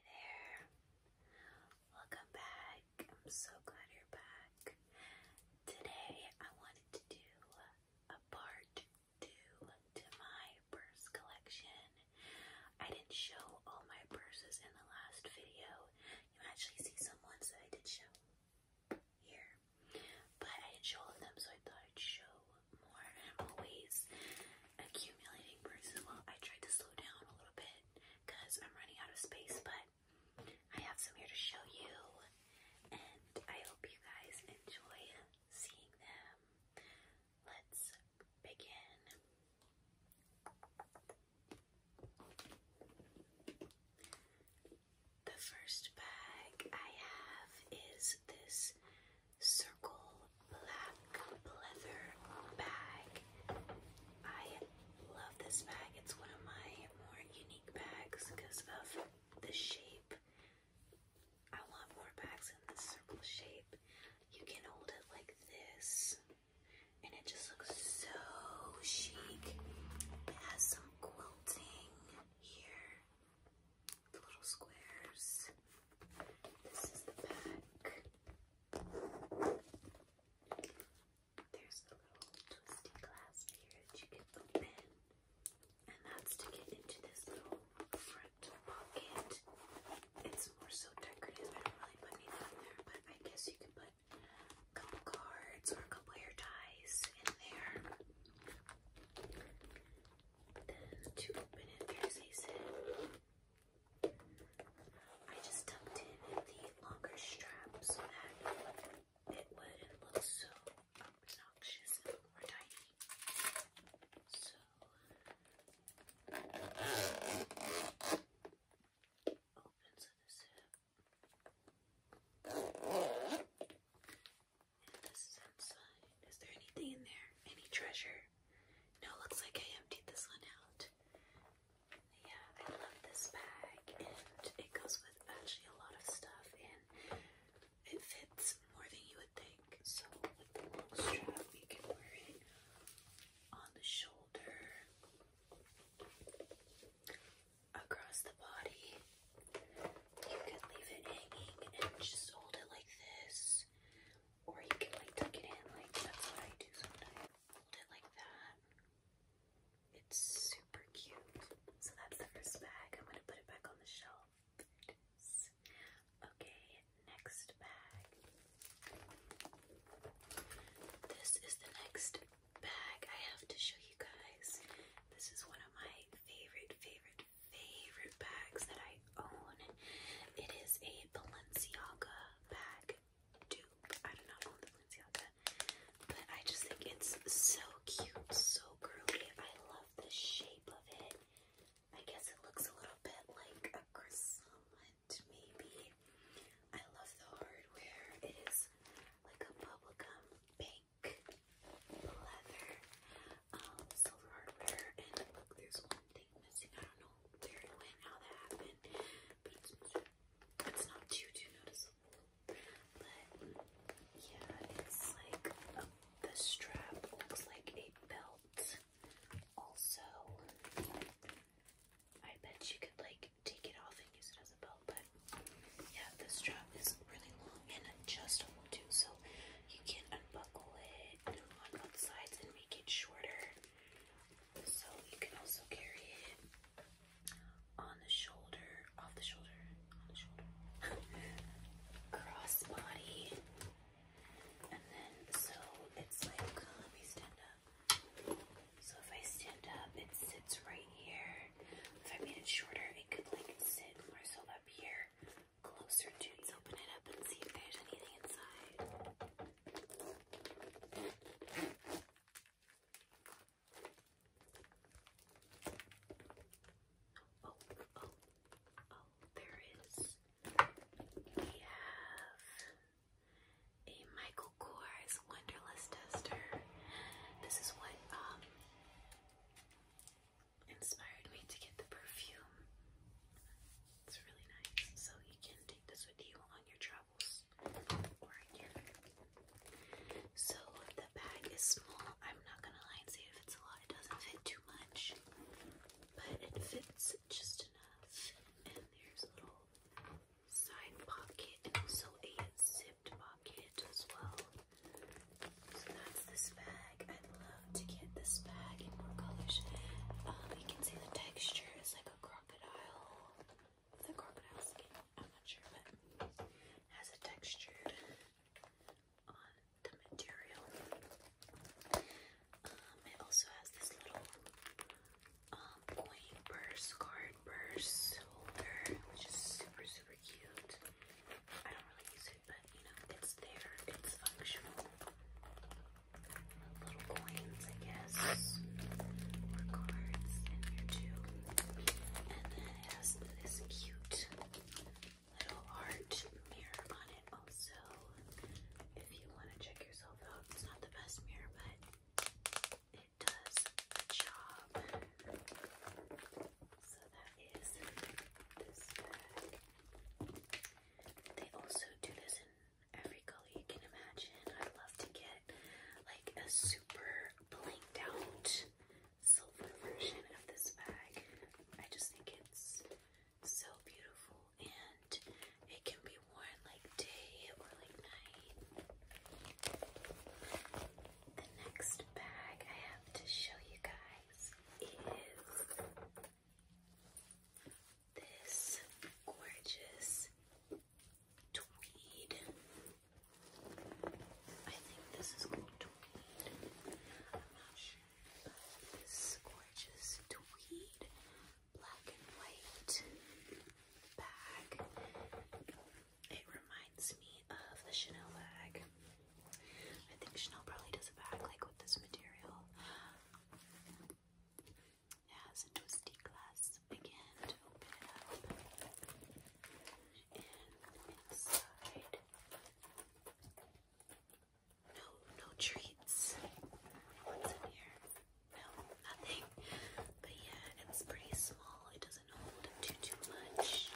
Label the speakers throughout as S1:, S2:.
S1: Hey there. Welcome back. I'm so glad you're back. Today I wanted to do a part two to my purse collection. I didn't show all my purses in the last video. You actually see some ones that I did show here. But I didn't show them, so I thought I'd show more I'm always accumulating bruises. Well, I tried to slow down a little bit because I'm running out of space, but I have some here to show you, and I hope you guys enjoy seeing them. Let's begin. The first bag I have is this circle black leather bag. I love this bag. It's one of my more unique bags because of the shape. I want more bags in this circle shape. You can hold it like this, and it just looks so chic. It has some quilting here the little squares. This is the back. There's a little twisty clasp here that you can open. And that's to get into this little front pocket. It's more so decorative. I don't really put anything in there, but I guess you can put a couple cards or a couple hair ties in there. Then to open it, there's I just tucked in the longer straps so that it wouldn't look so obnoxious and more tiny. So is there anything in there? Any treasure? No, looks like I emptied this one out. Yeah, I love this bag, and it goes with actually a lot of stuff, and it fits more than you would think. So, strap, you can wear it on the shoulder, across the body. You can leave it hanging and just hold it like this or you can like tuck it in. Like that's what I do sometimes. Hold it like that. It's super cute. So that's the first bag. I'm gonna put it back on the shelf. Okay, next bag. This is the next bag I have to show you guys. This is one of my favorite, favorite, favorite bags that I own. It is a Balenciaga bag dupe. I do not own the Balenciaga, but I just think it's so cute, so girly. I love the shape of it. I guess it looks a little bit like a croissant, maybe. I love the hardware. It is like a bubblegum pink leather um, silver hardware, and there's one thing missing. I don't know where it went, how that happened, but it's not too, too noticeable, but yeah, it's like um, the strap looks like a belt. Also, I bet you could like take it off and use it as a belt, but yeah, the strap is really long and adjustable too, so you can unbuckle it on both sides and make it shorter. So you can also carry it on the shoulder, off the shoulder, on the shoulder, cross and then so it's like, uh, let me stand up. So if I stand up, it sits right here. If I made it shorter, it could like sit more so up here closer to open it up and see if there's anything inside. Oh, oh, oh, there is. We have a Michael Kors Wonderless Tester. This is what, um, inspired me to get the perfume. It's really nice. So you can take this with you on your travels So the bag is small. I'm not gonna lie and say it fits a lot. It doesn't fit too much, but it fits just enough. And there's a little side pocket and also a zipped pocket as well. So that's this bag. I'd love to get this bag in more colors. Um, you can see the texture is like a crocodile. The crocodile skin. I'm not sure, but has a texture on the material. Um, it also has this little um, coin purse, card purse holder, which is super, super cute. I don't really use it but you know, it's there, it's functional. Little coins, I guess, or cards in here too. And then it has this cute little art mirror on it also. If you want to check yourself out, it's not the best mirror, but it does the job. So that is this bag. They also do this in every color you can imagine. I love to get like a super blanked out silver version of this bag. I just think it's so beautiful and it can be worn like day or like night. The next bag I have to show you guys is this gorgeous tweed. I think this is called tweed. I'm not sure, but this gorgeous tweed black and white bag. It reminds me of the Chanel bag. I think Chanel probably does it back like with this material. It has twisty glass again open up. inside, no, no treats. What's in here? No, nothing. But yeah, it's pretty small. It doesn't hold too, too much.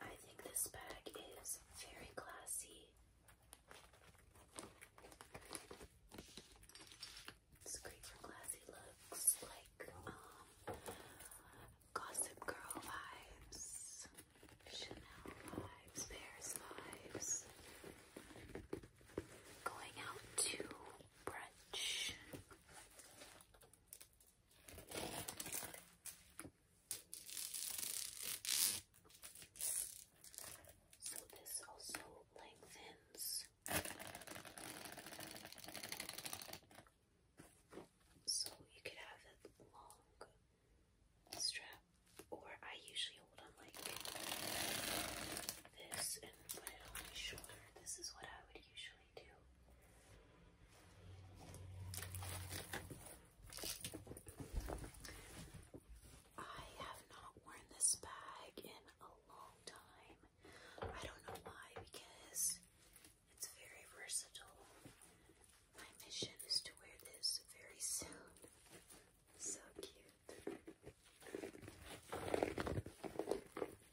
S1: I think this bag is very classy. It's great for classy looks, like um, Gossip Girl vibes, Chanel vibes, Paris vibes. Going out to brunch so this also lengthens. So you could have a long strap, or I usually hold on like this and put it on my shoulder. This is what I would usually. I have not worn this bag in a long time. I don't know why, because it's very versatile. My mission is to wear this very soon. So cute. Has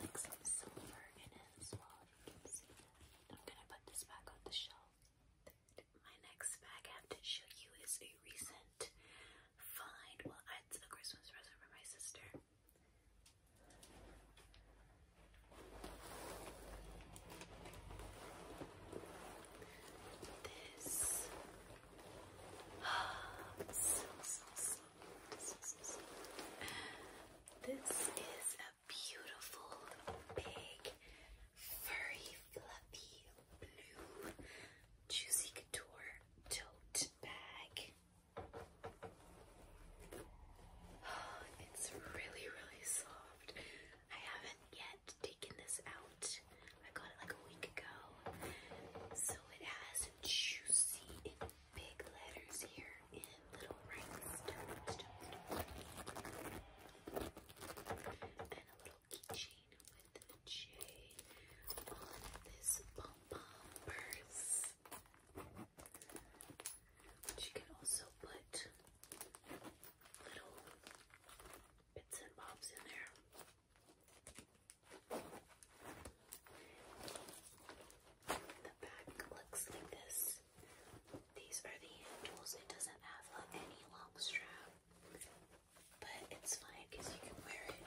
S1: like some silver in it as well, I'm gonna put this back on the shelf. My next bag I have to show you is a recent find. Well, it's a Christmas present for my sister. This oh, This is a beautiful, big, furry, fluffy, blue, juicy couture tote bag. It's really, really soft. I haven't yet taken this out. I got it like a week ago. So it has juicy in big letters here in little rhinestones. And a little keychain with a J on this pom-pom purse you can also put little bits and bobs in there. The back looks like this. These are the hand It doesn't have any long strap, but it's fine because you can wear it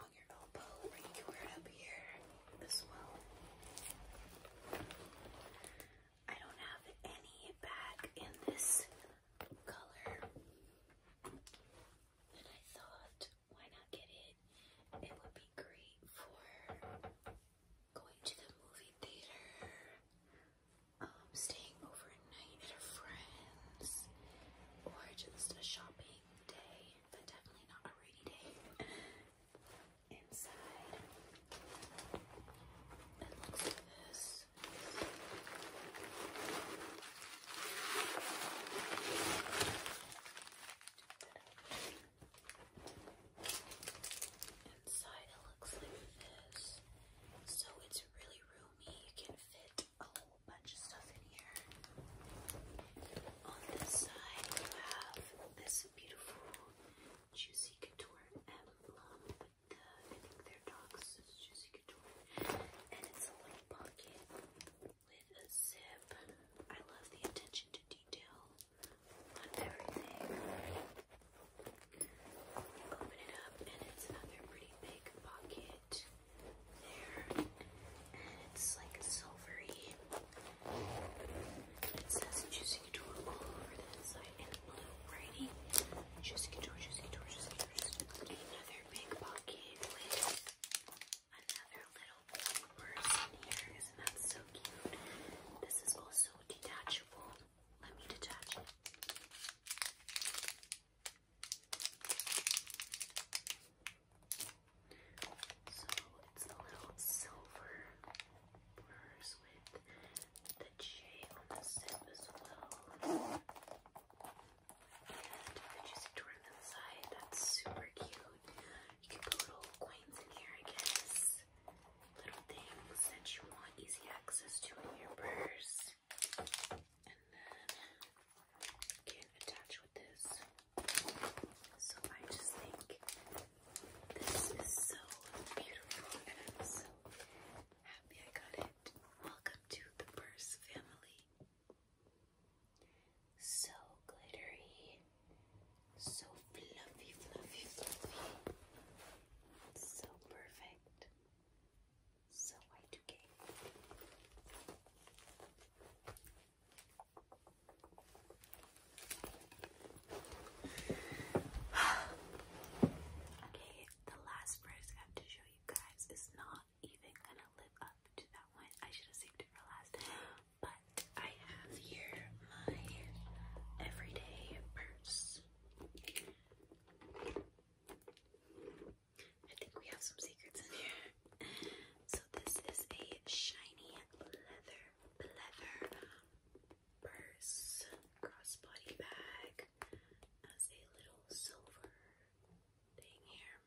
S1: on your elbow or you can wear it up here this well. I don't have any bag in this color. And I thought, why not get it? It would be great for going to the movie theater, um, staying overnight at a friend's, or just a shopping day, but definitely not a rainy day inside. It looks like this. Inside it looks like this. So it's really roomy. You can fit a whole bunch of stuff in here. On this side, you have this beautiful Juicy Couture emblem I think they dogs, so it's Couture. And it's a little pocket with a zip. I love the attention to detail on everything. Open it up, and it's another pretty big pocket there. And it's like silvery it says Juicy Couture all over the inside in blue writing. Juicy Couture, Juicy Couture, Juicy Couture. Another big pocket with another little purse here. Isn't that so cute? This is also detachable. Let me detach it. So it's the little silver blurs with the J on the zip as well. And if just turn inside, that's super cute. You can put little coins in here, I guess. Little things that you want easy access to in your purse. And then you can attach with this so I just think this is so beautiful and I'm so happy I got it. Welcome to the purse family. So glittery, so fluffy, fluffy, fluffy, so perfect, so y okay, the last purse I have to show you guys is not even gonna live up to that one. I should have saved it for last. But I have here my everyday purse. I think we have some secrets in here. So this is a shiny leather leather purse, crossbody bag, has a little silver thing here.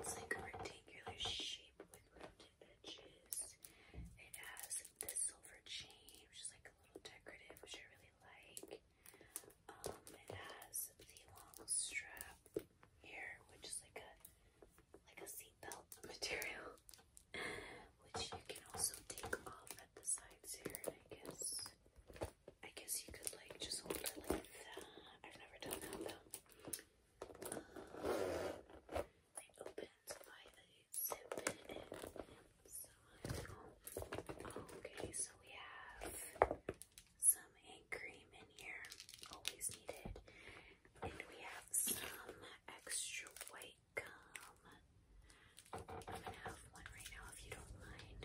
S1: It's like a rectangular shape with rounded edges. It has this silver chain, which is like a little decorative, which I really like. Um, it has the long strap here, which is like a like a seatbelt material, which you can also take off at the sides here. I guess, I guess you could like just hold it like that. I've never done that though. Um, it by a zip okay, so we have some hand cream in here, always needed. And we have some extra white gum. I'm gonna have one right now if you don't mind.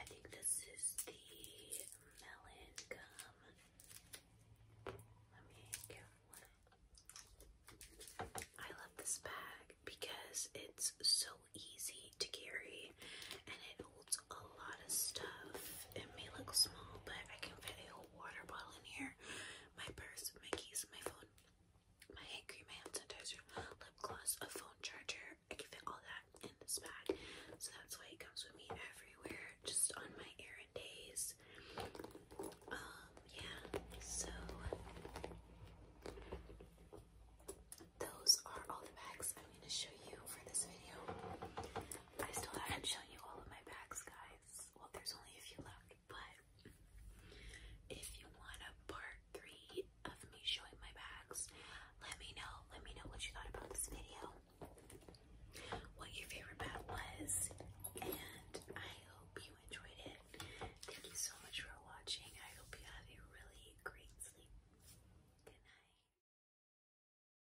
S1: I think this is the melon gum. Let me get one. I love this bag because it's so easy to carry and it holds a lot of stuff. It may look small, but I can fit a whole water bottle in here. My purse, my keys, my phone, my hand cream, my hand sanitizer, lip gloss, a phone charger. I can fit all that in this bag. So that's why it comes with me everywhere, just on my errand days. Um, yeah, so those are all the bags I'm going to show you for this video. I still haven't shown you all of my bags, guys. Well, there's only a few left, but if you want a part three of me showing my bags, let me know. Let me know what you thought about this video, what your favorite bag was, and I hope you enjoyed it. Thank you so much for watching. I hope you have a really great sleep. Good night.